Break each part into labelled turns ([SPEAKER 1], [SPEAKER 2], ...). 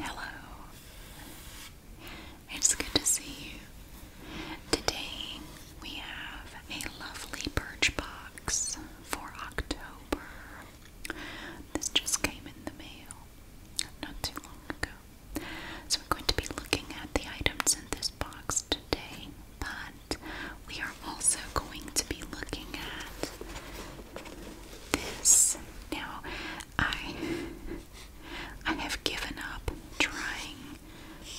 [SPEAKER 1] Hello. It's good to see you. Today we have a lovely birch box for October. This just came in the mail not too long ago. So we're going to be looking at the items in this box today by we are also going to be looking at this. Now, I I have given up trying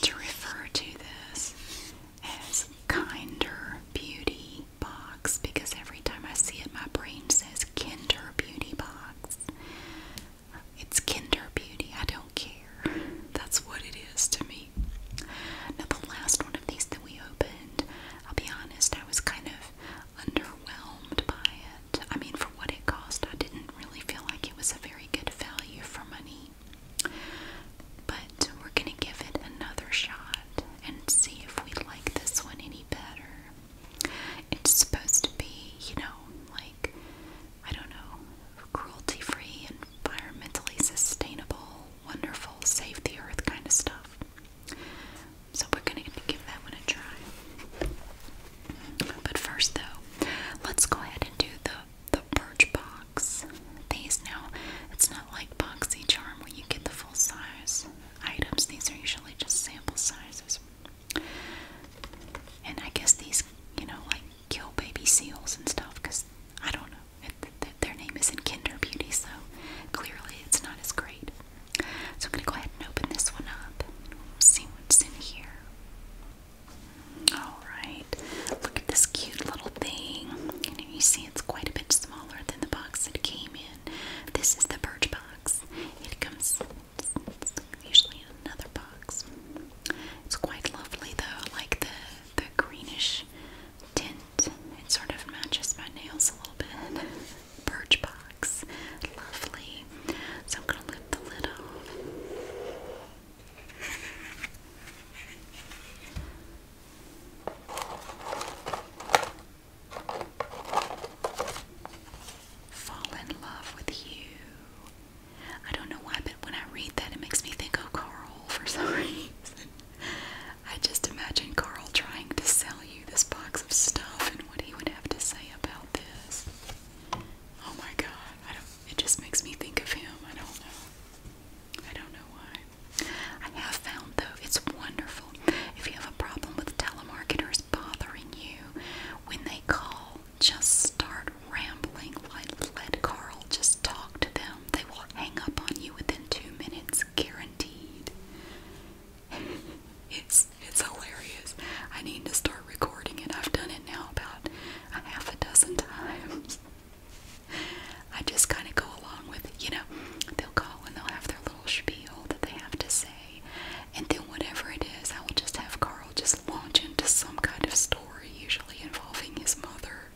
[SPEAKER 1] to refer to this as Kinder Beauty Box because every time I see it, my brain says Kinder Beauty Box. It's Kinder Beauty. I don't care. That's what it is to me story. Now, the last one of these that we opened, I'll be honest, I was kind of underwhelmed by it. I mean, for what it cost, I didn't really feel like it was a very good value for money. But we're gonna give it another shot and see if we like this one any better. It's supposed to be, you know, like, I don't know, cruelty free, environmentally sustainable, wonderful, save the earth kind of stuff. So we're going to give that one a try. But first though, let's go ahead and do the, the birch box. These now, it's not like Boxy Charm where you get the full size items. These are usually just sample sizes. And I guess these, you know, like kill baby seals and stuff because I don't know. Their name isn't Kinder Beauty, so clearly it's not as great. So I'm going to go ahead and open this one up. See what's in here. Alright, look at this cute little thing. You, you see it's quite a bit smaller than the box it came in. This is the Birch Box. It comes, usually in another box. It's quite lovely though, like the, the greenish tint. It sort of matches my nails a little bit. Birch box. Lovely. So I'm going to lift the lid Fall in love with you. I don't know why, but when I read that, it makes me think of Carl for some reason. I just imagine Carl trying to sell you this box of stuff and what he would have to say about this. Oh my god, I don't it just makes me think of him. I don't know. I don't know why. I have found though it's wonderful. If you have a problem with telemarketers bothering you, when they call, just start rambling. Like let Carl just talk to them they will hang up on you within two minutes, guaranteed. it's it's hilarious. I need to start recording and I've done it now about a half a dozen times. I just kind of go along with it. You know, they'll call and they'll have their little spiel that they have to say. And then whatever it is, I will just have Carl just launch into some kind of story, usually involving his mother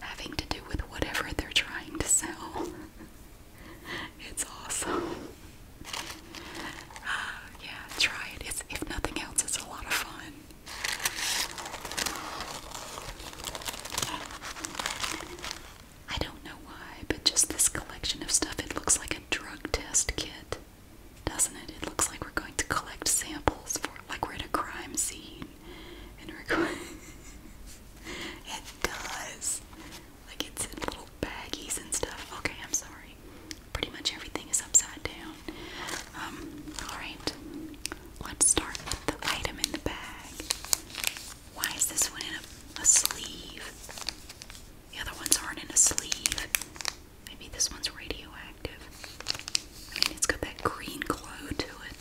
[SPEAKER 1] having to do with whatever they're trying to sell. it's awesome. Uh, yeah, try it. if nothing else, it's a lot of fun. I don't know why, but just this collection of stuff, it looks like a drug test kit, doesn't it? It looks like we're going to collect samples for like we're at a crime scene. it does. Like it's in little baggies and stuff. Okay, I'm sorry. Pretty much everything is upside down. Um, alright. Let's start with the item in the bag. Why is this one in a sleeve? The other ones aren't in a sleeve. Maybe this one's radioactive. I mean, it's got that green glow to it.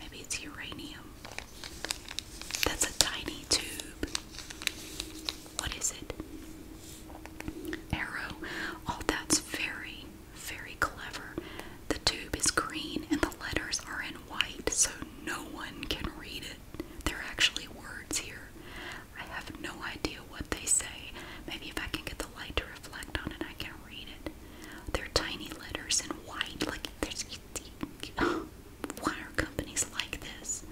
[SPEAKER 1] Maybe it's uranium. That's a tiny tube. What is it? Arrow. Oh, that's very, very clever. The tube is green and the letters are in white, so no one can read it. There are actually words here. I have no idea what they say. Maybe if I can get the light to reflect on it, I can read it. They're tiny letters in white. Like why are companies like this?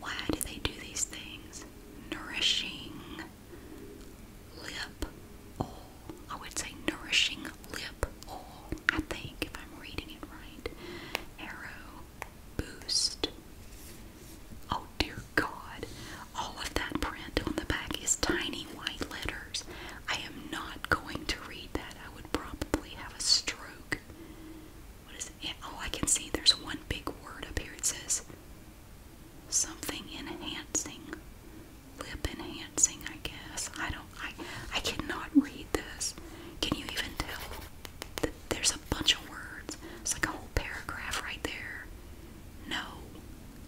[SPEAKER 1] Why do they do these things? Nourishing lip oil. I would say nourishing lip oil. I think if I'm reading it right. Arrow boost. Oh dear God. All of that print on the back is tiny white letters. I am not going to read that. I would probably have a stroke. What is it? Oh, I can see there's one big word up here. It says something enhancing. Lip enhancing, I guess. I don't I I cannot read this. Can you even tell that there's a bunch of words? It's like a whole paragraph right there. No.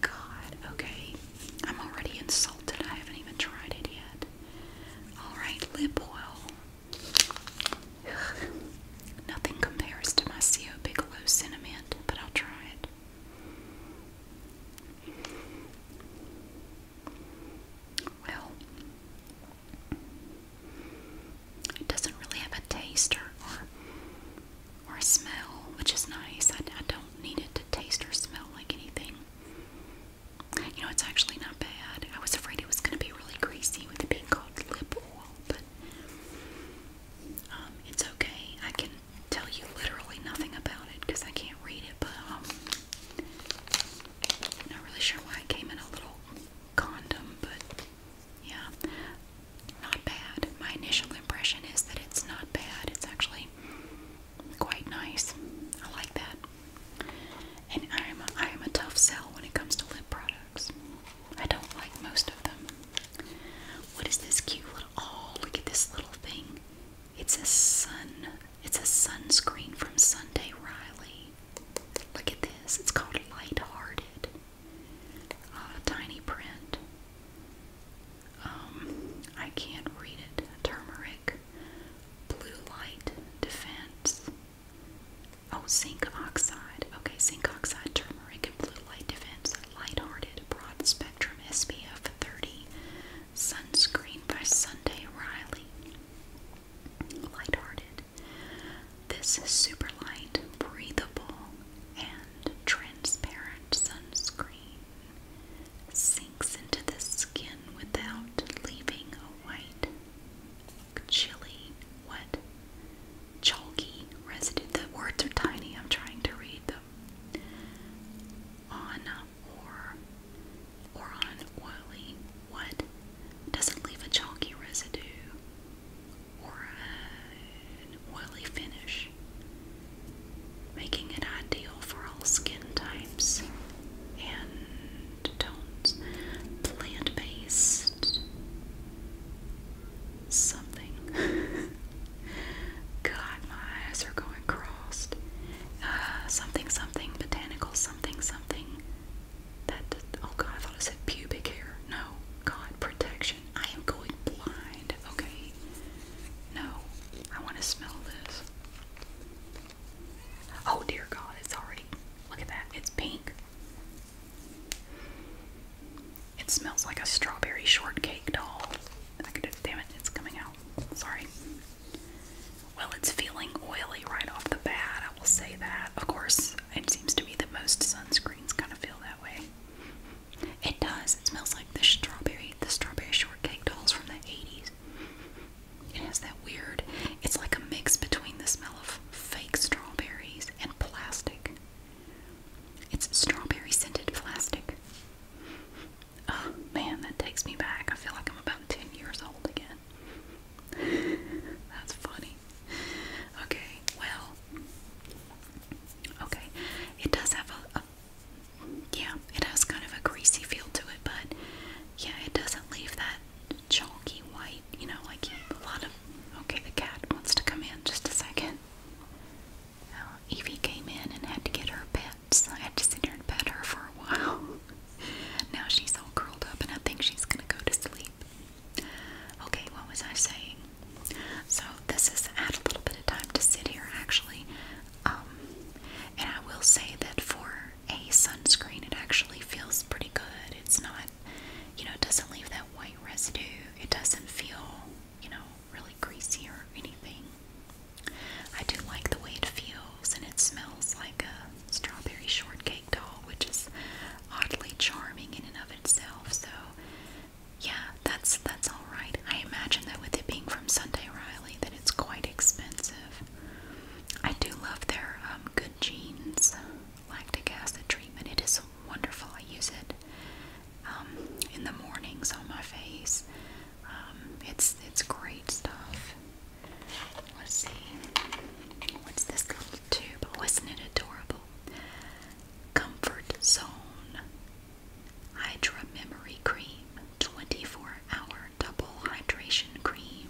[SPEAKER 1] God, okay. I'm already insulted. I haven't even tried it yet. Alright, lip oil. Nothing compares to my CO Bigelow Cinnamon, but I'll try it. Well, it doesn't really have a taste or or smell, which is nice. I, don't need it to taste or smell like anything. You know, it's actually not bad. I was afraid it was going to be really greasy with it being called lip oil, but um, it's okay. I can tell you literally nothing about it because I can't read it, but um, not really sure why it came in a little condom, but yeah, not bad. My initial impression is that it's not bad. It's actually quite nice. I like that. And I am a, I am a tough sell when it comes to lip products. I don't like most of them. What is this cute little? Oh, look at this little thing. It's a sun. It's a sunscreen from Sunday Riley. Look at this. It's called Lighthearted. Uh, tiny print um, I can't read it. Turmeric, blue light, defense. Oh, zinc oxide. Okay, zinc oxide, turmeric, and blue light defense. Lighthearted, broad spectrum SPF 30. Sunscreen by Sunday Riley. Lighthearted. This is super light, breathable, and transparent sunscreen sinks into the skin without leaving a white, chilly, what? Chalky residue. The words are tiny. I'm trying to read them. On or or on oily. What doesn't leave a chalky residue or oily finish, making it ideal for all skin types and tones. Plant based something. God, my eyes are going crossed. Uh, something, something, botanical, something, something. That, oh God, I thought I said pubic hair. No, God, protection. I am going blind. Okay. No. I want to smell this. Oh dear God, it's already. Look at that. It's pink. It smells like a strawberry shortcake doll. I could damn it, it's coming out. Sorry. Well, it's feeling oily right off the bat, I will say that. Of course, it seems to be that most sunscreens kind of feel that way. It does. It smells like the strawberry, the strawberry shortcake dolls from the 80s. It has that weird, it's like a mix between the smell of fake strawberries and plastic. It's strawberry scented plastic. Oh man, that takes me back. I feel like I'm about 10 years old again. That's funny. Okay, well, okay. It does have a yeah, it has kind of a greasy feel to it, but yeah, it doesn't leave that chalky white, you know, like a lot of. Okay, the cat wants to come in just a second. Uh, Evie came in and had to get her pets. I had to sit here and pet her for a while. now she's all curled up, and I think she's gonna go to sleep. Okay, what was I saying? So, this has had a little bit of time to sit here actually. Um, and I will say that for a sunscreen, it actually feels pretty good. It's not, you know, it doesn't leave that white residue. It doesn't feel, you know, really greasy or anything. I do like the way it feels, and it smells like a strawberry shortcake doll, which is oddly charming in and of itself. So yeah, that's that's all right. I imagine that with it being from Sunday Riley, that it's quite expensive. I do love their um, Good Genes lactic acid treatment. It is wonderful. I use it um, in the mornings on my face. Um, it's it's great stuff. Let's see. What's this little tube? Oh, isn't it adorable? Comfort Zone Hydra Memory Cream 24 Hour Double Hydration Cream.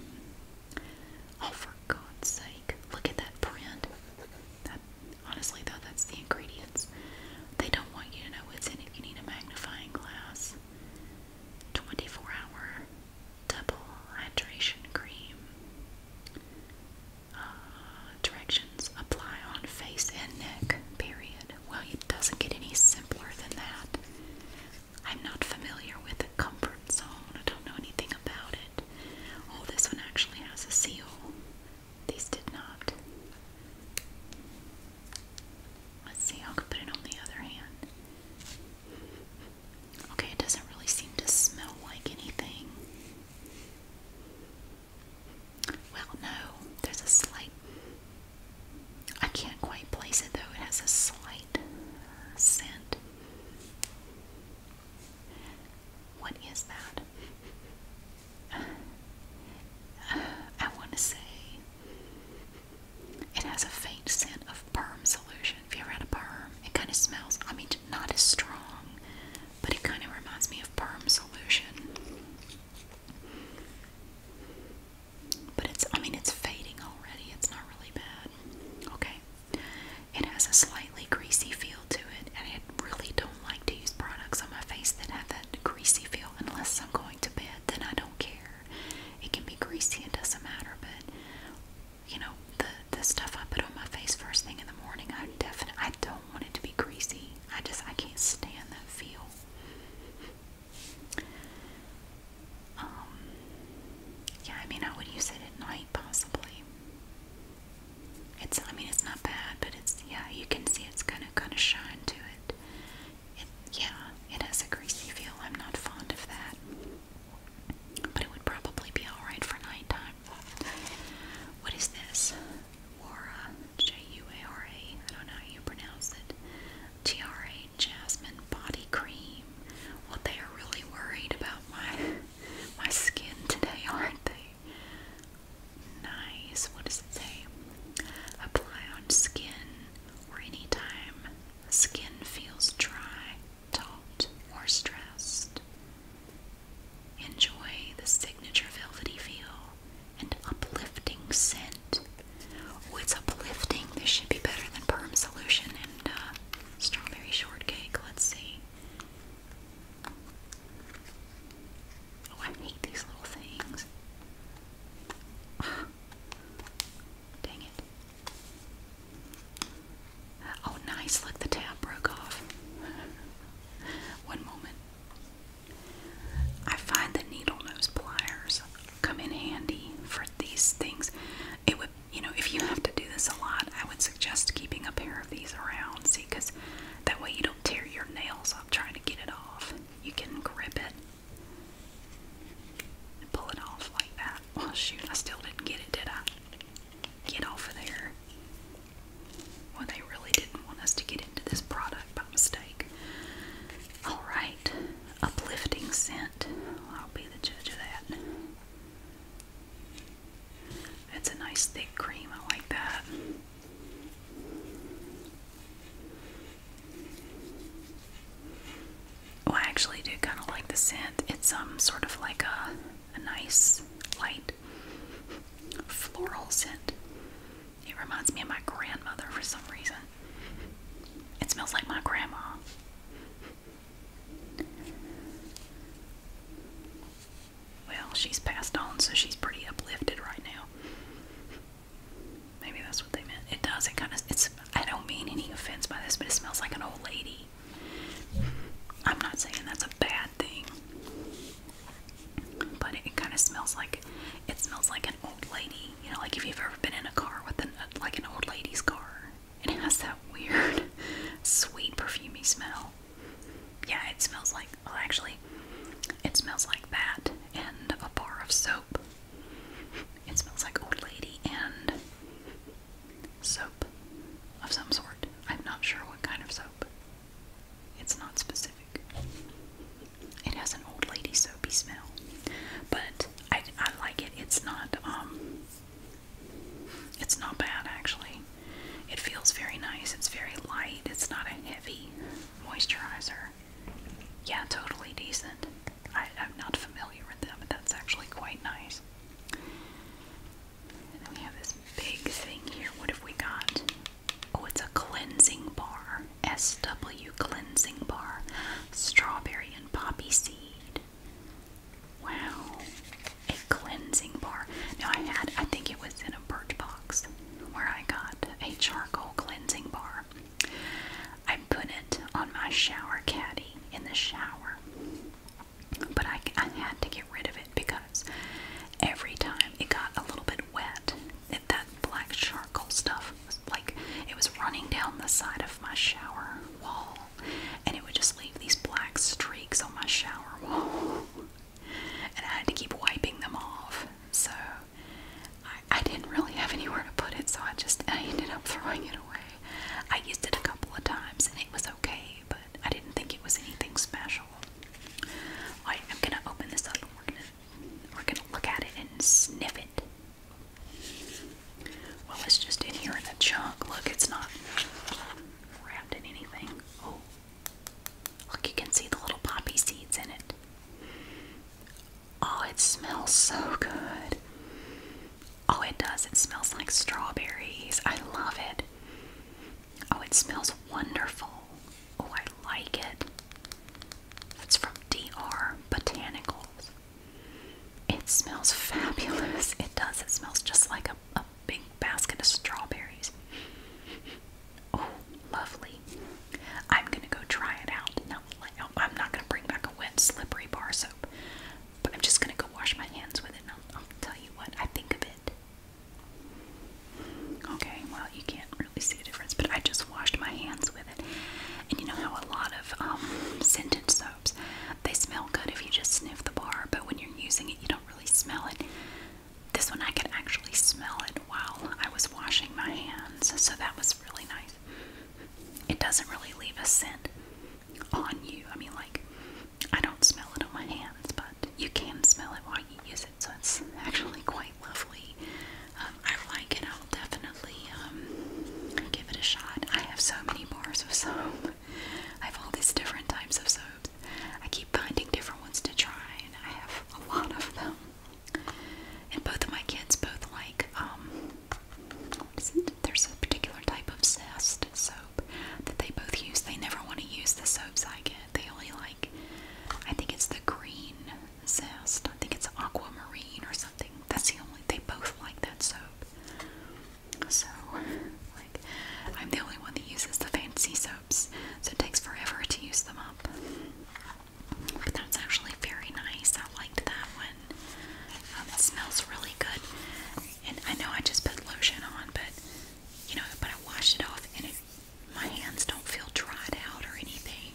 [SPEAKER 1] Oh, for God's sake, look at that print. That, honestly, though, that's the ingredients. They don't want you to know what's in it. You need a magnifying glass. 24 Hour Double Hydration Cream. Uh, directions apply on face and neck, period. Well, it doesn't get any simpler than that. I'm not familiar with the comfort zone. I don't know anything about it. Oh, this one actually has a seal. These did not. Let's see, I'll put it on the other hand. Okay, it doesn't really seem to smell like anything. Well, no, there's a slight. I can't quite place it though, it has a slight uh, scent. What is that? I want to say it has a faint scent of perm solution. If you ever had a perm, it kind of smells, I mean, not as strong, but it kind of reminds me of perm solution. But it's, I mean, it's fading already. It's not really bad. Okay. It has a slightly greasy feel to it, and I really don't like to use products on my face that have that greasy feel unless I'm going to bed, then I don't care. It can be greasy, it doesn't matter, but you know, the the stuff I put on my face first thing in the morning, I definitely I don't want it to be greasy. I just I can't stand that feel. Um, yeah, I mean, I would use it at night possibly. It's, I mean, it's not bad, but it's, yeah, you can see it's kind of, kind of shine to it. Yeah, it has a greasy feel. I'm not fond of that. But it would probably be alright for nighttime. What is this? Wara, J-U-A-R-A, I don't know how you pronounce it, Tiare Jasmine Body Cream. Well, they are really worried about my, my skin today, aren't they? Nice. What does it say? Apply on skin or anytime skin feels dry, taut, or stressed. Enjoy the signature velvety feel and uplifting scent. Oh, it's uplifting. This should be better than Perm Solution and uh, Strawberry Shortcake. Let's see. Oh, I hate these little things. Dang it. Oh, nice. Look, the tab broke off. One moment. I find the needle nose pliers come in handy for these things. It would, you know, if you have to do this a lot, I would suggest keeping a pair of these around. See, because that way you don't tear your nails up trying to get it off. You can grip it pull it off like that. Well, oh, shoot, I still didn't get it, did I? Get off of there. Well, they really didn't want us to get this product by mistake. Alright, uplifting scent. I'll be the judge of that. That's a nice thick cream, I like that. Oh, I actually do kind of like the scent. It's um sort of like a nice light floral scent. It reminds me of my grandmother for some reason. It smells like my grandma. Well, she's passed on, so she's pretty uplifted right now. Maybe that's what they meant. It does. It kind of. It's. I don't mean any offense by this, but it smells like an old lady. I'm not saying that's a bad thing. But it, it kind of smells like it smells like an old lady. You know, like if you've ever been in a car with an like an old lady's car, and it has that weird sweet perfumey smell. Yeah, it smells like well, actually, it smells like that and a bar of soap. It smells like old lady and soap of some sort. I'm not sure what kind of soap. It's not specific. It has an old lady soapy smell, but I, I like it. It's not um. It's not bad actually. It feels very nice. It's very light. It's not a heavy moisturizer. Yeah, totally decent. I, I'm not familiar with that, but that's actually quite nice. And we have this big thing here. What have we got? Oh, it's a cleansing bar. SW cleansing bar. Strawberry and poppy seed. Wow. A cleansing bar. Now I had I think it was in a birch box where I got a charcoal cleansing bar. I put it on my shower caddy in the shower. But I, I had to get rid of it because every time it got a little bit wet that black charcoal stuff was like it was running down the side of my shower wall and it would just leave these black streaks on my shower wall and I had to keep wiping them off so I, I didn't really have anywhere to put it so I just I ended up throwing it away I used it a couple of times and it was okay but I didn't think it was anything special I'm gonna open this up we're gonna look at it and sniff it. Well, it's just in here in a chunk. Look, it's not wrapped in anything. Oh, look, you can see the little poppy seeds in it. Oh, it smells so good. Oh, it does. It smells like strawberries. I love it. Oh, it smells wonderful. Oh, I like it. It's from DR Botanicals. It smells fabulous. It does. It smells just like a, a big basket of strawberries. Oh, lovely. I'm going to go try it out. Now, I'm not going to bring back a wet, slippery bar soap, but I'm just going to go wash my hands with it and I'll tell you what I think of it. Okay, well, you can't really see a difference, but I just washed my hands with it. And you know how a lot of um, scented soaps, they smell good if you just sniff the bar, but when you're using it, you don't really smell it. This one, I could actually smell it while I was washing my hands, so that was really nice. It doesn't really leave a scent on you. I mean, like, I don't smell it on my hands, but you can smell it while you use so it's actually quite lovely. Um, I like it. I'll definitely um, give it a shot. I have so many bars of soap. I have all these different types of soaps. I keep finding different ones to try, and I have a lot of them. And both of my kids both like um, There's a particular type of zest soap that they both use. They never want to use the soaps I get. They only like. I think it's the green zest. I think it's aquamarine or something. That's the only they both like that soap. So like I'm the only one that uses the fancy soaps, so it takes forever to use them up. But that's actually very nice. I liked that one. Um, it smells really good. And I know I just put lotion on, but you know, but I washed it off and it my hands don't feel dried out or anything.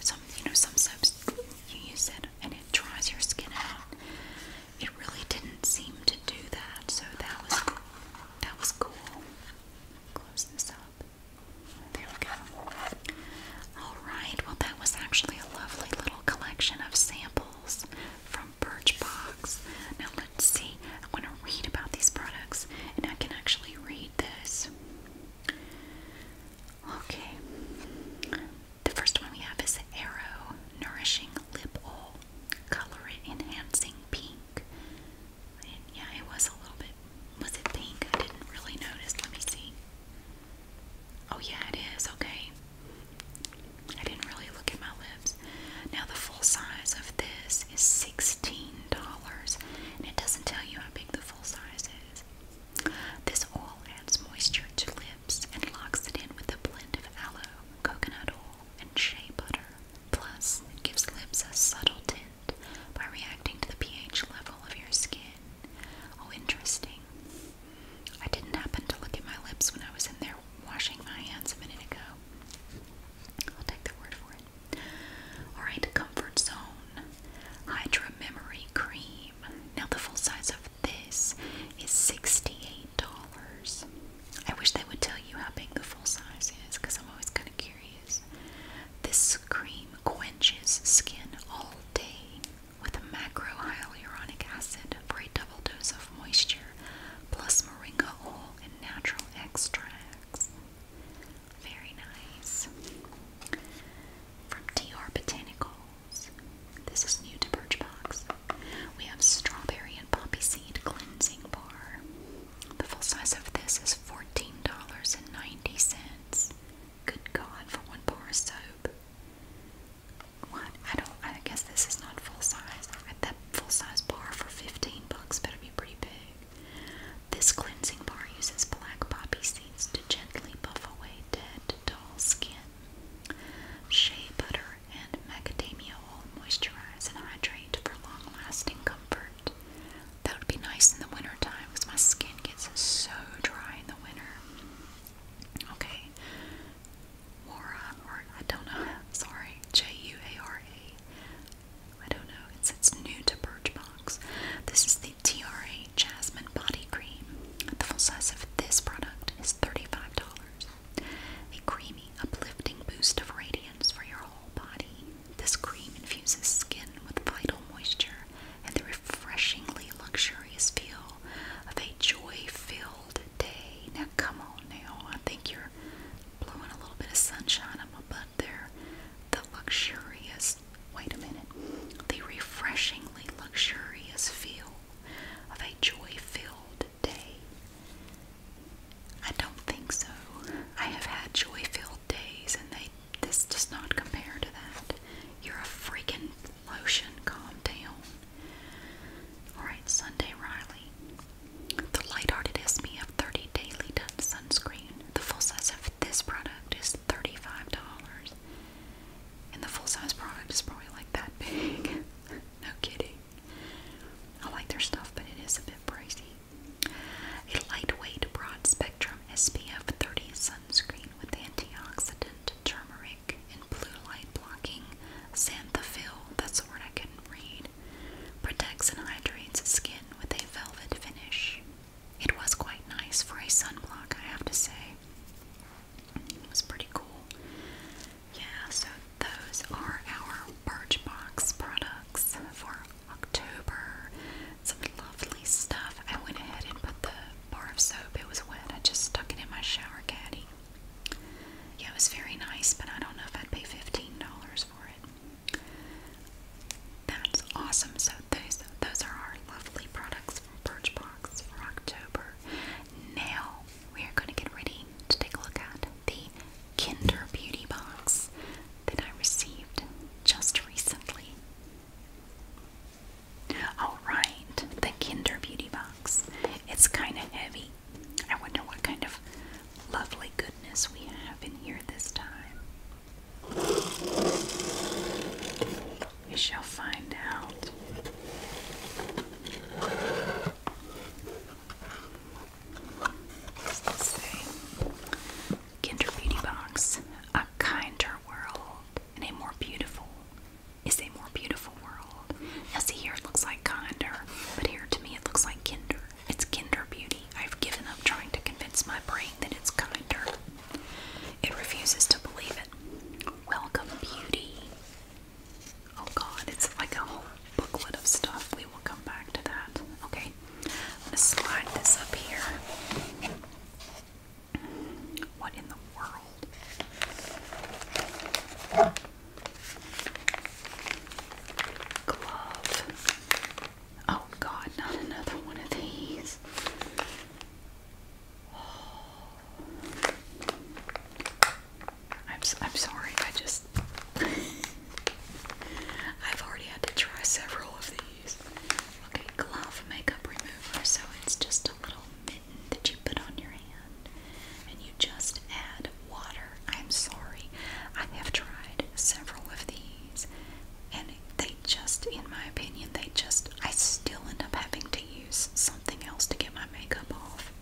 [SPEAKER 1] Some, you know, some soaps you use it and it dries your skin out. It really didn't seem to do that, so that was that was cool. Close this up. There we go. All right. Well, that was actually a lovely little collection of samples from Birchbox. Now let's see. I want to read about these products, and I can actually read this. Okay. The first one we have is Arrow Nourishing Lip Oil, Color Enhancing Pink. And yeah, it was a little bit. Was it pink? I didn't really notice. Let me see. Oh, yeah, it is. Okay. I didn't really look at my lips. Now, the full size of this is $16, and it doesn't tell you how big the full size This oil adds moisture to lips and locks it in with a blend of aloe, coconut oil, and shea butter. Plus, gives lips a subtle tint by reacting to the pH level of your skin. Oh, interesting. I didn't happen to look at my lips when I was in there washing my hands a minute ago. I'll take the word for Alright, Comfort Zone Hydra Memory Cream. Now, the full size of this is $68. I wish they would tell you how big the full size is because I'm always kind of curious. This cream quenches skin all day with a macrohyaluronic acid for a double dose of moisture, plus moringa oil and natural extracts. Very nice. From TR Botanicals. This is new to Birchbox. We have strawberry and poppy seed cleansing bar. The full size of this is $14.90. Good God, for one bar of soap. What? I don't, I guess this is not full size. That full size bar for 15 bucks better be pretty big. This cleansing bar uses black poppy seeds to gently buff away dead, dull skin. Shea butter and macadamia oil moisturize and hydrate for long-lasting comfort. That would be nice in the winter time because my skin gets so dry in the winter. Okay, Wara, or I don't know. Sorry, J U A R A. I don't know. It's it's new Birchbox. This is the TRA Jasmine Body Cream. The full size of this product is thirty-five dollars. A creamy, uplifting boost of radiance for your whole body. This cream infuses skin with vital moisture and the refreshingly luxurious feel of a joy-filled day. Now, come on now. I think you're blowing a little bit of sunshine on my butt the luxurious, wait a minute, the refreshingly luxurious feel of a joy filled day. I don't think so. I have had joy filled days and they this does not compare to that. You're a freaking lotion, calm down. Alright, Sunday Riley. The light-hearted of 30 Daily Done Sunscreen. The full size of this product it's $35. And the full size product is probably like that big. no kidding. I like their stuff, but it is a bit pricey. A lightweight, broad spectrum SPF 30 sunscreen with antioxidant, turmeric, and blue light blocking xanthophyll, that's the word I can read, protects and hydrates skin with a velvet finish. It was quite nice for a sunblock, I have to say. It was pretty cool. Yeah, so those are our Birchbox products for October. Some lovely stuff. I went ahead and put the bar of soap, it was wet. I just stuck it in my shower caddy. Yeah, it was very nice, but I don't know if I'd pay $15 for it. That's awesome. So those those are our lovely products from Birchbox for October. Now we are going to get ready to take a look at the Kinder Beauty Box that I received just recently. Alright, the Kinder Beauty Box. It's kind of heavy. I wonder what kind of lovely goodness we have in here this time. We shall find out. say? Kinder Beauty Box. A kinder world and a more beautiful is a more beautiful world. Now see here it looks like kinder, but here to me it looks like kinder. It's kinder beauty. I've given up trying to convince my brain that it's kinder. It refuses to believe it. Welcome, beauty. Oh god, it's like a whole booklet of stuff. We will come back to that. Okay, I'm slide this up here. What in the world? Glove. Oh God, not another one of these. I'm, I'm sorry, I just. I've already had to try several of these. Okay, glove makeup remover. So it's just a little mitten that you put on your hand and you just add water. I'm sorry, I have tried several of these and they just, in my opinion, they just, I still end up having to use something else to get my makeup off.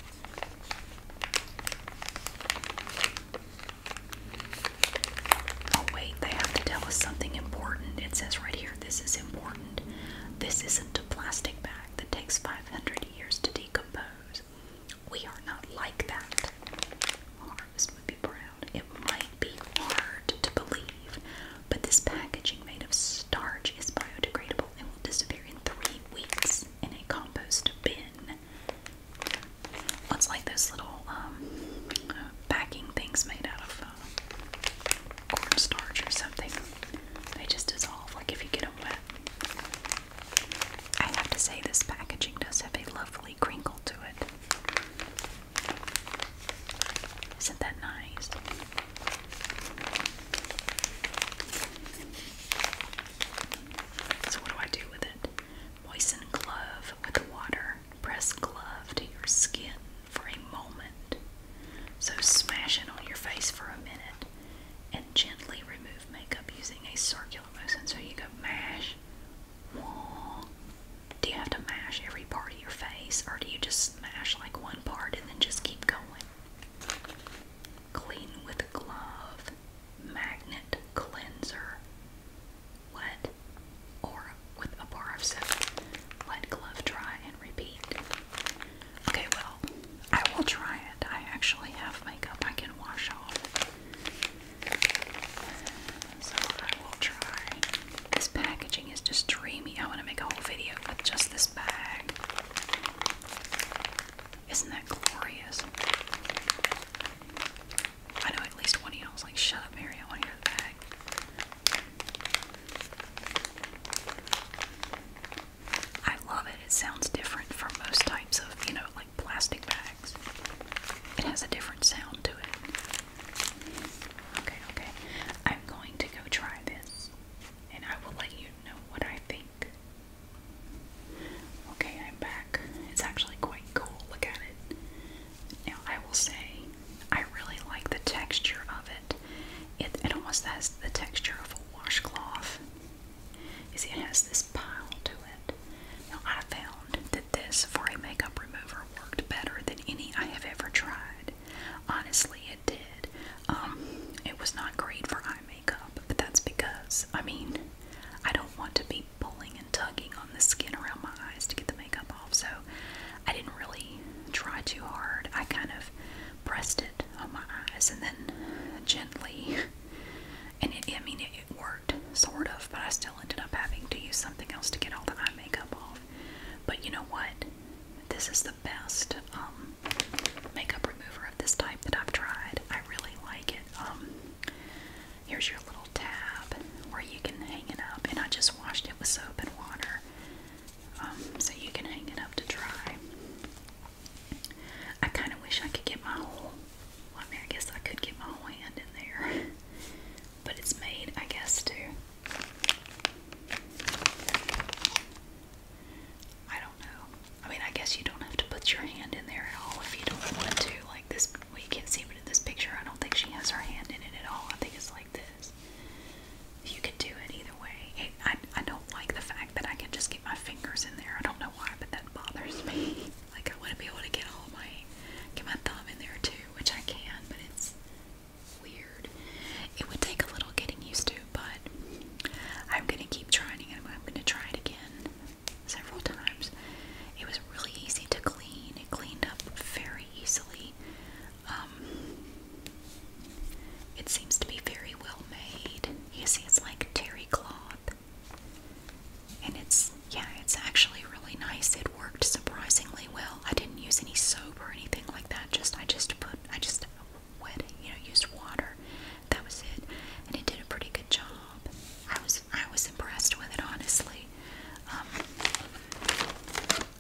[SPEAKER 1] Oh, wait, they have to tell us something important. It says right here, this is important. This isn't a plastic bag that takes 500 years to decompose. We are not like that. Harvest would be it might be hard to believe, but this packaging made of starch is biodegradable and will disappear in three weeks in a compost bin. What's like those little um, uh, packing things made out of uh, cornstarch or something? They just dissolve, like if you get them wet. I have to say, this packaging does have a lovely crinkle to it. Isn't that nice? So, what do I do with it? Moisten glove with water. Press glove to your skin for a moment. So, smash it on your face for a minute and gently remove makeup using a circular motion. So, you go mash, do you have to mash every part of your face or do you just mash like one part and then just keep going? Clean with a glove, magnet cleanser, wet or with a bar soap. Let glove dry and repeat. Okay, well, I will try it. I actually have makeup I can wash off. This packaging is just dreamy. I want to make a whole video with just this bag. Isn't that glorious? I know at least one of you was like, shut up, Mary, I want to bag. I love it. It sounds different from most types of, you know, like plastic bags. It has a different sound to it. Okay, okay. I'm going to go try this and I will let you know what I think. Okay, I'm back. It's actually quite cool. Look at it. Now, I will say, I really like the texture of it. It, it almost has the texture of a washcloth. You see, it has this pile to it. Now, I found that this, for a makeup remover, water worked better than any I have ever tried. Honestly, it did. Um, it was not great for eye makeup, but that's because, I mean, I don't want to be pulling and tugging on the skin around my eyes to get the makeup off, so I didn't really try too hard. I kind of pressed it on my eyes and then gently, and it, I mean, it, it worked, sort of, but I still ended up having to use something else to get all the eye makeup off. But you know what? This is the best um, makeup remover of this type that I've tried. I really like it. Um, here's your little tab where you can hang it up, and I just washed it with soap and water, um, so you can hang it up to dry. I kind of wish I could get my whole. Well, I mean, I guess I could get my whole hand in there. but it's made, I guess, Too. I don't know. I mean, I guess you don't have to put your hand in there at all if you don't want to. Like this, well, you can't see, but in this picture, I don't think she has her hand in it at all. I think it's like this. You can do it either way. I, I don't like the fact that I can just get my fingers in there. I don't know why, but that bothers me. Like I want to be able to get all my, get my thumb in there too which I can, but it's weird. It would take a little getting used to, but I'm gonna keep trying it. I'm gonna try it again several times. It was really easy to clean. It cleaned up very easily. Um, it seems to be very well made. You see, it's like terry cloth, and it's yeah, it's actually really nice. It worked surprisingly well. I didn't use any soap or anything like that. Just I just put I just wet you know used water. That was it, and it did a pretty good job. I was I was impressed with it honestly. Um,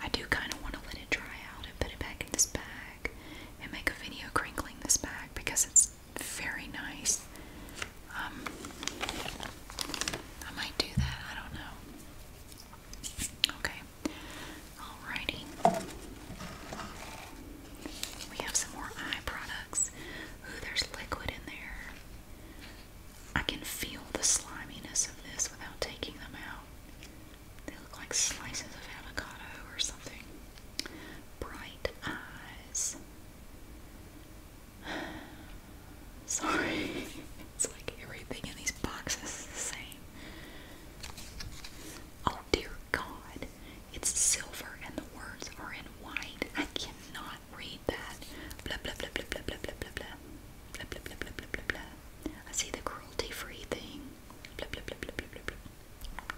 [SPEAKER 1] I do kind of want to let it dry out and put it back in this bag and make a video crinkling this bag because it's very nice. Um, I might do that. I don't know. Okay. Alrighty. We have some more eye products. Ooh, there's liquid in there. I can feel the sliminess of this without taking them out. They look like slices of avocado or something. Bright eyes. Sorry. It's like everything in these boxes is the same. Oh dear God. It's silver and the words are in white. I cannot read that. Blah blah blah blah blah blah blah blah blah. Blah blah blah blah blah blah blah. I see the cruelty free thing. Blah blah blah blah blah blah blah.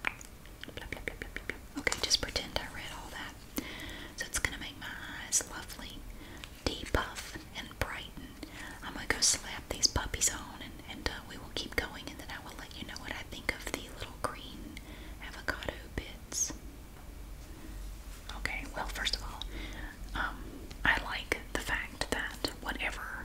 [SPEAKER 1] Blah blah blah blah blah blah. Okay, just pretend I read all that. So it's going to make my eyes lovely, depuff, and brighten. I'm going to go slap these puppies on and, and uh, we will keep going and then I will let you know what I think of the little green avocado bits. Okay, well, first of all, um, I like the fact that whatever,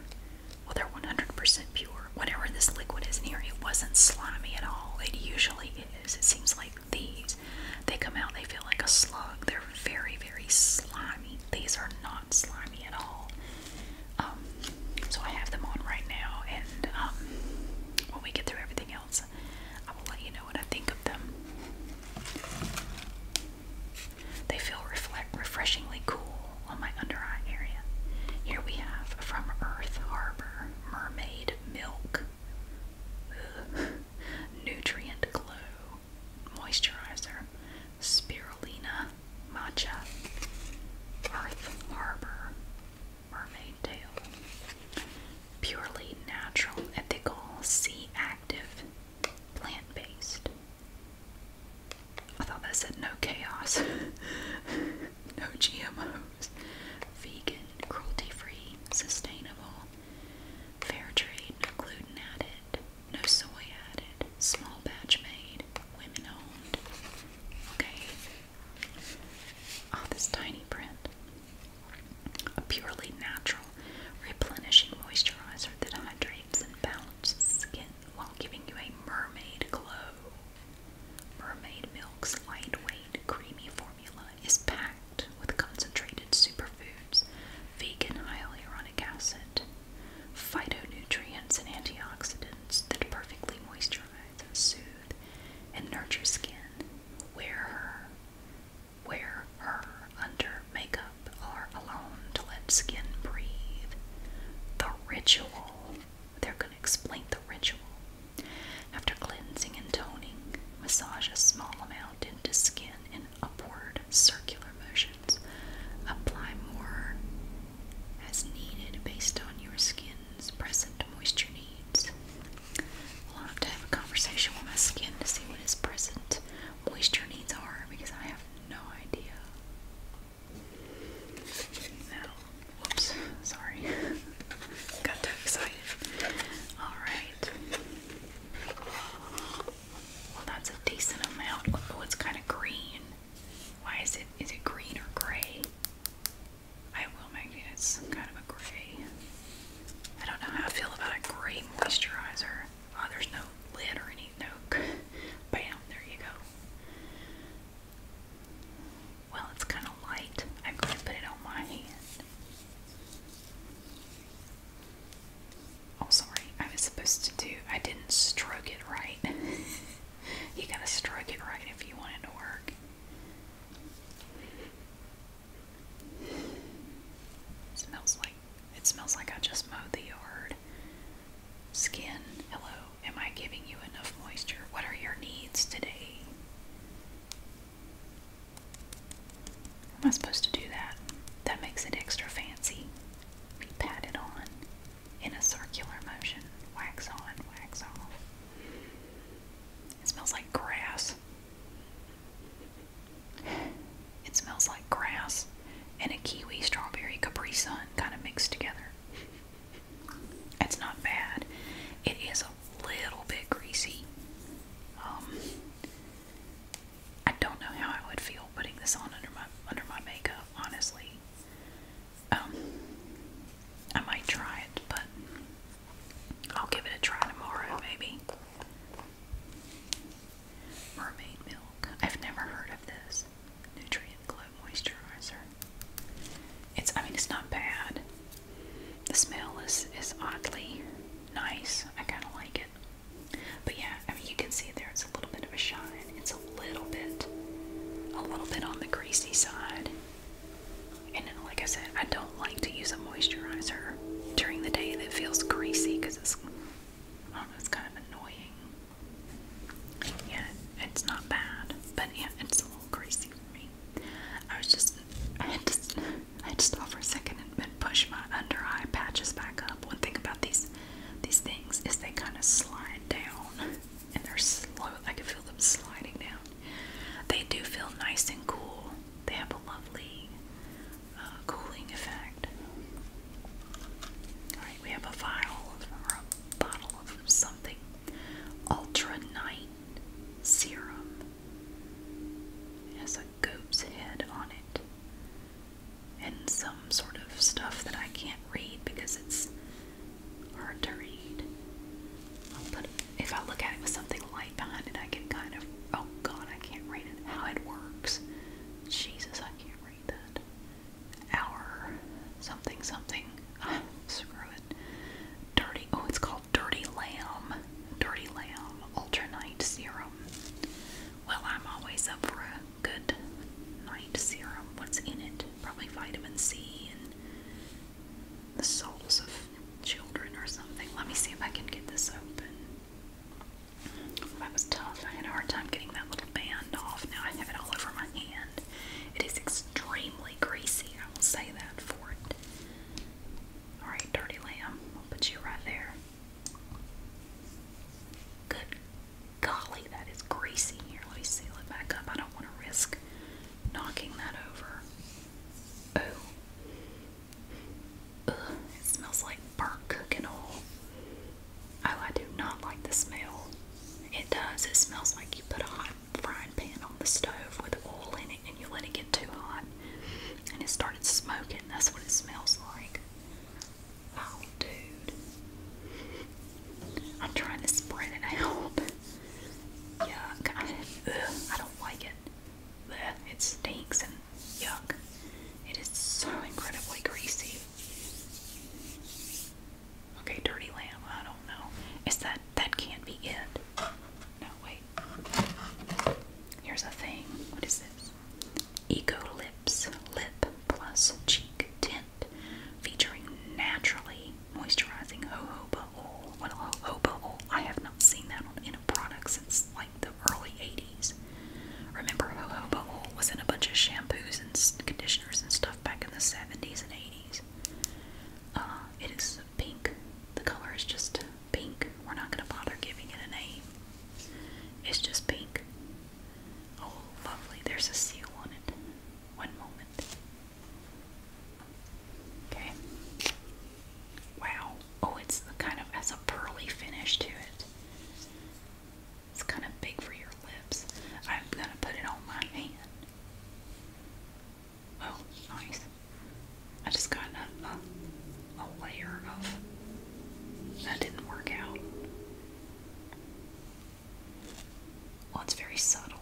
[SPEAKER 1] well, they're 100% pure. Whatever this liquid is in here, it wasn't slimy at all. It usually is. It seems like these. They come out, they feel like a slug. They're very, very slimy. These are not slimy at all. Um, so I have them on right now, and um, when we get through everything else, I will let you know what I think of them. They feel refreshingly cool on my under eye area. Here we have from Earth Harbor Mermaid Milk. Nutrient Glow moisturizer, spirulina, matcha, Earth Harbor, mermaid tail, purely natural, ethical, sea active, plant based. I thought that said no chaos, no GMOs, vegan, cruelty free, sustainable, Fair trade, no gluten added, no soy added, small batch made, women owned. Okay. oh, this tiny print. A purely natural, replenishing moisturizer that hydrates and balances skin while giving you a mermaid glow. Mermaid Milk's lightweight, creamy formula formula is packed with concentrated superfoods, vegan hyaluronic acid, phytonutrients, and antioxidants that perfectly moisturize and soothe and nurture skin. Wear her, wear her under makeup or alone to let skin breathe. The ritual. They're going to explain the ritual. After cleansing and toning, massage a small amount in skin to skin in upward circular motions. Apply more as needed based on your skin's present moisture needs. We'll have to have a conversation with my skin to see what its present moisture needs are because I have no idea. Now, whoops, sorry. Got too excited. Alright. Well, that's a decent amount. Oh, it's kind of green. Why is it? Is it green or gray? I will make it. It's kind of a gray. I don't know how I feel about a gray moisturizer. Oh, there's no lid or any Bam! There you go. Well, it's kind of light. I'm going to put it on my hand. Oh, sorry. I was supposed to do. I didn't stroke it right. you gotta stroke it right if you want it to work. It smells like. It smells like I just mowed the yard. Skin, hello. Am I giving you enough moisture? What are your needs today? Am I supposed to do that? That makes it extra fancy. Be patted on in a circular motion. Wax on, wax off. It smells like grass. It smells like grass and a kiwi strawberry Capri Sun kind of mixed together. It's not bad. It is a little bit greasy. Um, I don't know how I would feel putting this on under my under my makeup, honestly. Um I might try it, but I'll give it a try tomorrow maybe. Mermaid milk. I've never heard of this. Nutrient glow moisturizer. It's I mean it's not bad. The smell is is oddly nice. I kinda like it. But yeah, I mean you can see there it's a little bit of a shine. It's a little bit a little bit on the greasy side. And then, like I said, I don't like to use a moisturizer during the day that feels greasy because it's I don't know, it's kind of annoying. Yeah, it's not bad, but yeah, it's a little greasy for me. I was just I had to i just stop for a second and push my under eye patches back up. One thing about these these things is they kind of slide down, and they're slow. I can feel them sliding down. They do feel nice and cool. They have a lovely uh, cooling effect. All right, we have a vial or a bottle of something. Ultra Night Serum it has a goat's head on it. And some sort of stuff that I can't read because it's hard to read. But if I look at it with something light behind it, I can kind of. Oh god, I can't read it. How it works. Jesus, I can't read that. Our something something. screw it. Dirty. Oh, it's called Dirty Lamb. Dirty Lamb Ultra Night Serum. Well, I'm always up for a good night serum. What's in it? Probably vitamin C and the souls of children or something. Let me see if I can get this open. That was tough. I had a hard time getting that little band off. Now I have it all over my hand. It is extremely greasy. I will say that for it. Alright, Dirty Lamb. I'll put you right there. Good golly, that is greasy. Here, let me seal it back up. I don't want to risk knocking that over. Oh. it smells like burnt cooking oil. Oh, I do not like the smell. It does. It smells like you put a hot frying pan on the stove with oil in it and you let it get too hot and it started smoking. That's what it smells like. Oh, dude. I'm trying to spread it out. Yuck. I, ugh, don't like it. it stinks and yuck. It is so incredibly greasy. Okay, dirty lamb. I don't know. Is that that can't be it? No, wait. Here's a thing. What is this? Eco Lips Lip Plus Cheek Tint featuring naturally moisturizing jojoba oil. What well, jojoba oil? I have not seen that in a product since like the early 80s. Remember, jojoba oil was in a bunch of shampoos and conditioners and stuff back in the 70s and 80s. Uh, it is pink. The color is just pink. We're not going to bother giving it a name. It's just pink. Oh, lovely. There's a seal on it. One moment. Okay. Wow. Oh, it's kind of has a pearly finish to it. It's kind of big for your lips. I'm going to put it on my hand. Oh, nice. I just got a, a, layer of that didn't work out. Well, it's very subtle.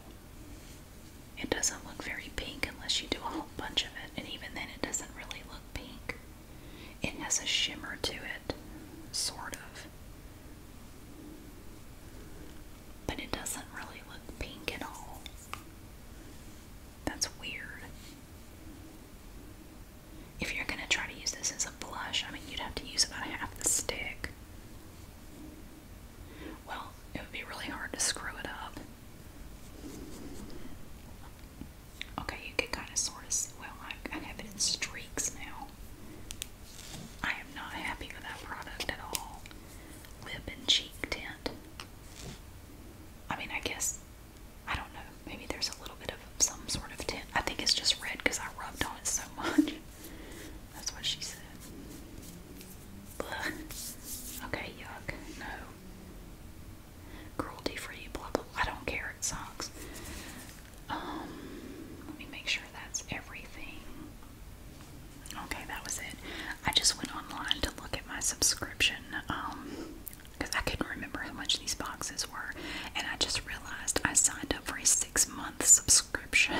[SPEAKER 1] It doesn't look very pink unless you do a whole bunch of it, and even then, it doesn't really look pink. It has a shimmer to it, sort of. But it doesn't really look pink at all. That's weird. If you're going to try to use this as a blush, I mean, you'd have to use about half the stick. Well, it would be really hard to screw it up. Okay, you can kind of sort of see. Well, I, I have it in streaks now. I am not happy with that product at all. Lip and cheek tint. I mean, I guess I don't know. Maybe there's a little bit of some sort of tint. I think it's just red because I rubbed on it so much. That's what she said. Blah. Okay, yuck. No. Cruelty free, blah, blah. I don't care. It sucks. Um, let me make sure that's everything. Okay, that was it. I just went online to look at my subscription. Um, because I couldn't remember how much these boxes were, and I just realized I signed up for a six month subscription.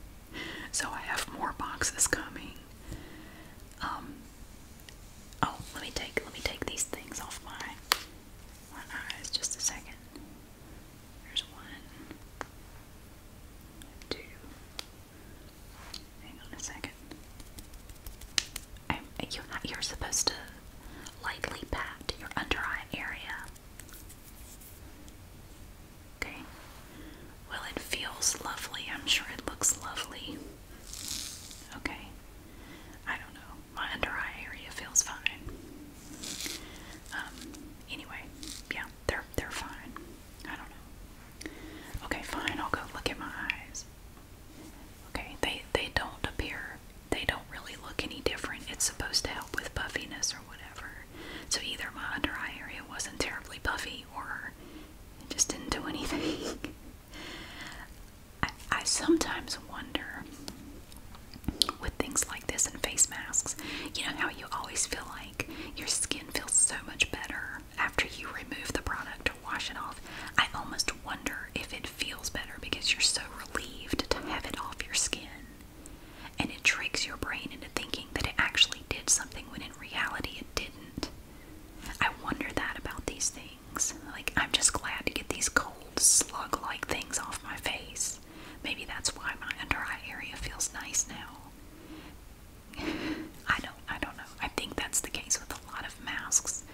[SPEAKER 1] so I have more boxes coming. Um oh let me take let me take these things off my my eyes just a second. There's one two hang on a second you're You're supposed to lightly pat your under eye area. Okay. Well, it feels lovely. I'm sure it looks lovely. Okay. I don't know. My under eye area feels fine. Um. Anyway, yeah, they're they're fine. I don't know. Okay, fine. I'll go look at my eyes. Okay, they they don't appear they don't really look any different. It's supposed to help with puffiness or whatever. So either my under eye area wasn't terribly puffy or it just didn't do anything. I, I sometimes wonder with things like this and face masks, you know how you always feel like your skin feels so much better after you remove the product or wash it off. I almost wonder if it it feels better because you're so relieved to have it off your skin. And it tricks your brain into thinking that it actually did something when in reality it didn't. I wonder that about these things. Like, I'm just glad to get these cold, slug like things off my face. Maybe that's why my under eye area feels nice now. I don't I don't know. I think that's the case with a lot of masks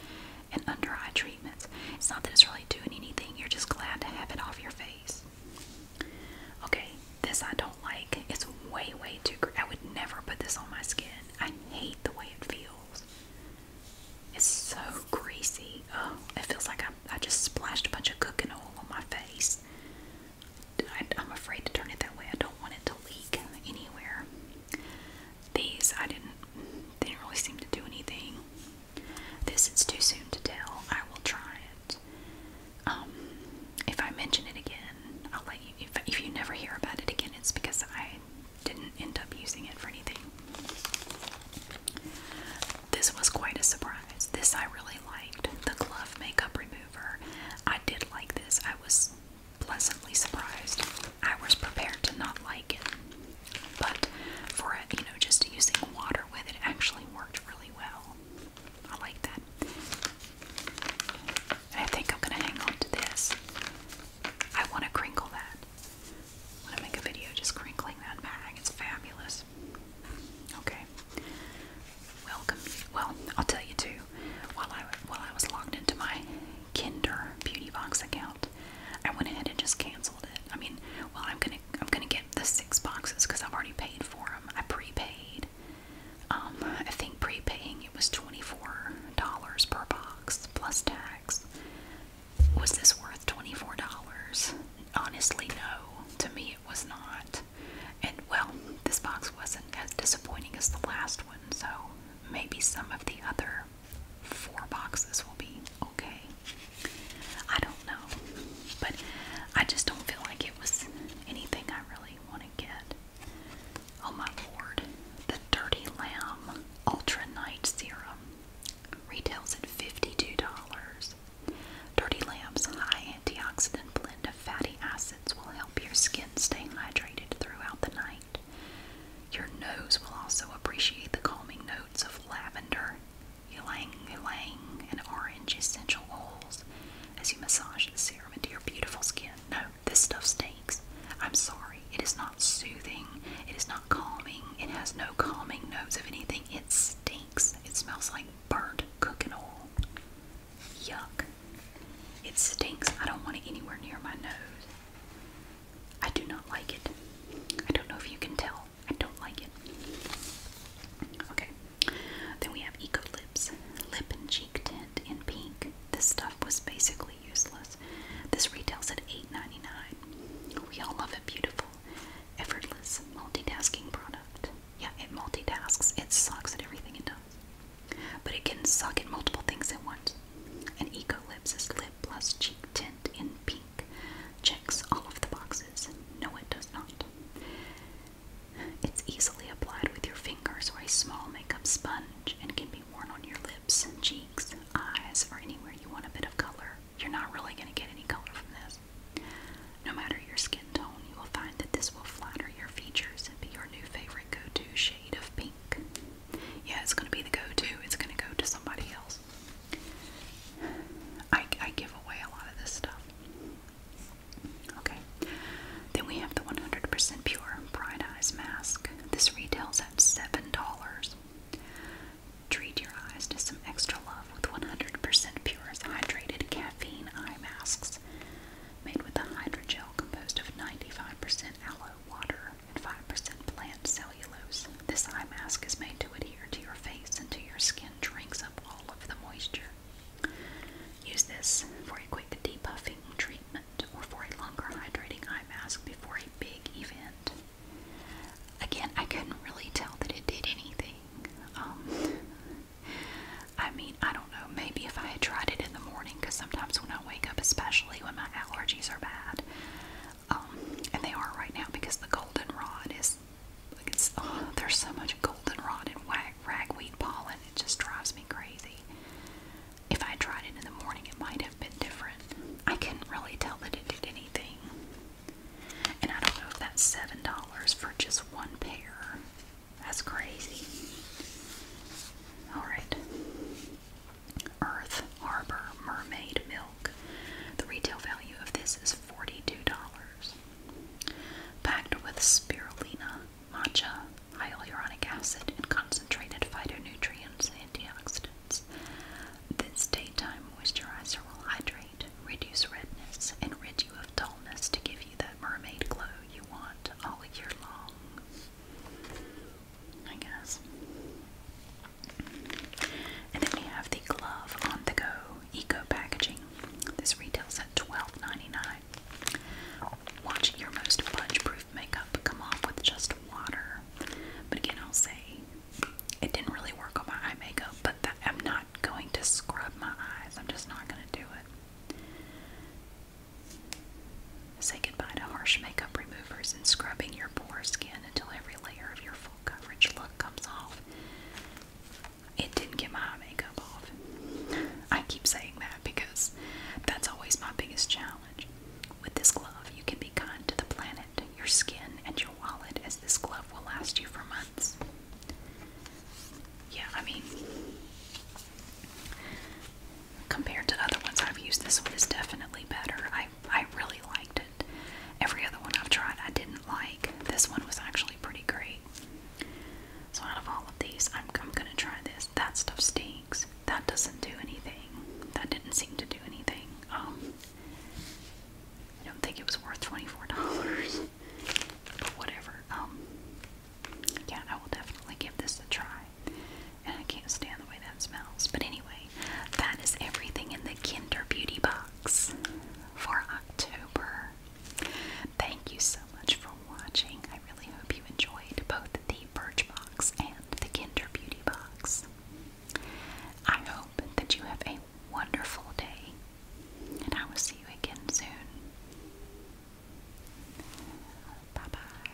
[SPEAKER 1] and under eye treatments. It's not that it's really doing anything, you're just glad to have it off your face. Okay, this I don't like. It's way, way too greasy. I would never put this on my skin. I hate the way it feels. It's so greasy. Oh, it feels like I, just splashed a bunch of cooking oil on my face. I'm afraid to turn it that way. I don't want it to leak anywhere. These I didn't they didn't really seem to do anything. This is too soon to tell. I will try it. Um, if I mention it again, I'll let you. If, if you never hear about it again, it's because I didn't end up using it for anything. This was quite a surprise. This I really liked. The glove makeup remover. I did like this. I was pleasantly surprised. I was prepared to not like it, but for it, you know, just using water with it actually worked really well. I like that. And I think I'm gonna hang on to this. I want to crinkle that. I'm gonna make a video just crinkling that bag. It's fabulous. Okay. Welcome. Well, I'll tell you too. While I while I was locked into my Kinder Beauty Box account. I went ahead and just canceled it. I mean, well, I'm gonna I'm gonna get the six boxes because I've already paid for them. I prepaid. Um, I think prepaying it was twenty four dollars per box plus tax. Was this worth twenty four dollars? Honestly, no. To me, it was not. And well, this box wasn't as disappointing as the last one, so maybe some of the other four boxes will be okay. I don't know, but I just don't feel like it was anything I really want to get. Oh my lord, the Dirty Lamb Ultra Night Serum retails at $52. Dirty Lamb's high antioxidant blend of fatty acids will help your skin stay hydrated throughout the night. Your nose will also appreciate the calming notes of lavender, ylang ylang, and orange essential oils as you massage the serum into your beautiful skin. No, this stuff stinks. I'm sorry. It is not soothing. It is not calming. It has no calming notes of anything. It stinks. It smells like burnt cooking oil. Yuck. It stinks. I don't want it anywhere near my nose. I do not like it. I don't know if you can tell. I don't like it. Okay. Then we have EcoLips Lip and Cheek Tint in pink. This stuff was basically useless. This retails at eight ninety nine. We all love a beautiful, effortless, multitasking product. Yeah, it multitasks. It sucks at everything it does. But it can suck at multiple things at once. And EcoLips is lip plus cheek tint in pink checks all of the boxes. No, it does not. It's easily applied with your fingers or a small makeup sponge and can be worn on your lips, cheeks, eyes, or anywhere you want a bit of color. You're not really going to get any color from this. No matter your skin tone, you will find that this will flatter your features and be your new favorite go to shade of pink. Yeah, it's gonna be the go-to. It's gonna go to somebody else. I, I give away a lot of this stuff. Okay. Then we have the 100% pure Bright Eyes Mask. This retails at $7. Treat your eyes to some extra love with 100% pure hydrated caffeine eye masks made with a hydrogel composed of 95% aloe water, and 5% plant cellulose. This eye mask is made to adhere to your face until your skin drinks up all of the moisture. Use this for a quick depuffing treatment or for a longer hydrating eye mask before a big event. Again, I couldn't really tell that it did anything. Um, I mean, I don't know, maybe if I had tried it in the morning, because sometimes when wake up, especially when my allergies are bad. Um, and they are right now because the goldenrod is like it's oh, there's so much goldenrod and wag, ragweed pollen. It just drives me crazy. If I tried it in the morning, it might have been different. I couldn't really tell that it did anything. And I don't know if that's seven dollars for just one pair. That's crazy. Alright. Earth Harbor Mermaid Milk. The retail value of this is $42. Packed with spirulina, matcha, hyaluronic acid, and concentrated phytonutrients and antioxidants, this daytime moisturizer will hydrate, reduce redness, and rid you of dullness to give you that mermaid glow you want all year long. I guess. And then we have the Glove on the Go Eco Packaging. This retail set $12.99. Watch your most budge proof makeup come off with just water. But again, I'll say it didn't really work on my eye makeup, but I'm not going to scrub my eyes. I'm just not going to do it. Say goodbye to harsh makeup removers and scrubbing your pore skin until every layer of your full coverage look comes off. It didn't get my makeup off. I keep saying that because that's always my biggest challenge. With this glove, you can be kind to the planet, your skin, and your wallet, as this glove will last you for months. Yeah, I mean, compared to other ones I've used, this one is definitely better. I, I really liked it. Every other one I've tried I didn't like. This one was actually pretty great. So out of all of these, I'm, I'm going to try this. That stuff stinks. That doesn't do anything. That didn't seem to do anything. Um, I don't think it was worth $24. but whatever. Um, yeah, I will definitely give this a try. And I can't stand the way that smells. But anyway, that is everything in the Kinder Beauty box for October. Thank you so much for watching. I really hope you enjoyed both the Birchbox and the Kinder Beauty box. I hope that you have a wonderful day, and I will see you again soon. Bye bye.